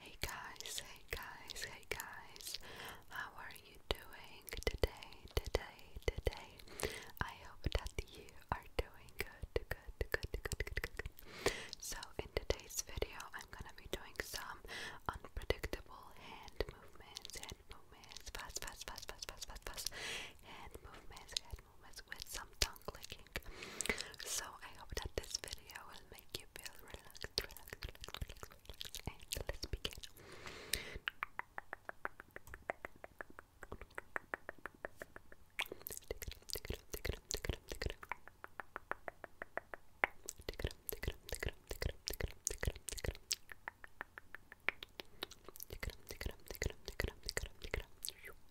Hey guys, hey guys, hey guys. How are you doing today, today, today? I hope that you are doing good, good, good, good, good, good. So in today's video, I'm gonna be doing some unpredictable hand movements, hand movements, fast, fast, fast, fast, fast, fast, fast, hand movements, hand movements with some tongue so I hope that this video will make you feel relaxed. And let's begin.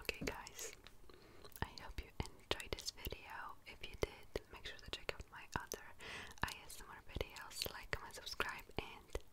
Okay, guys, I hope you enjoyed this video. If you did, make sure to check out my other ISMR videos, like, comment, subscribe, and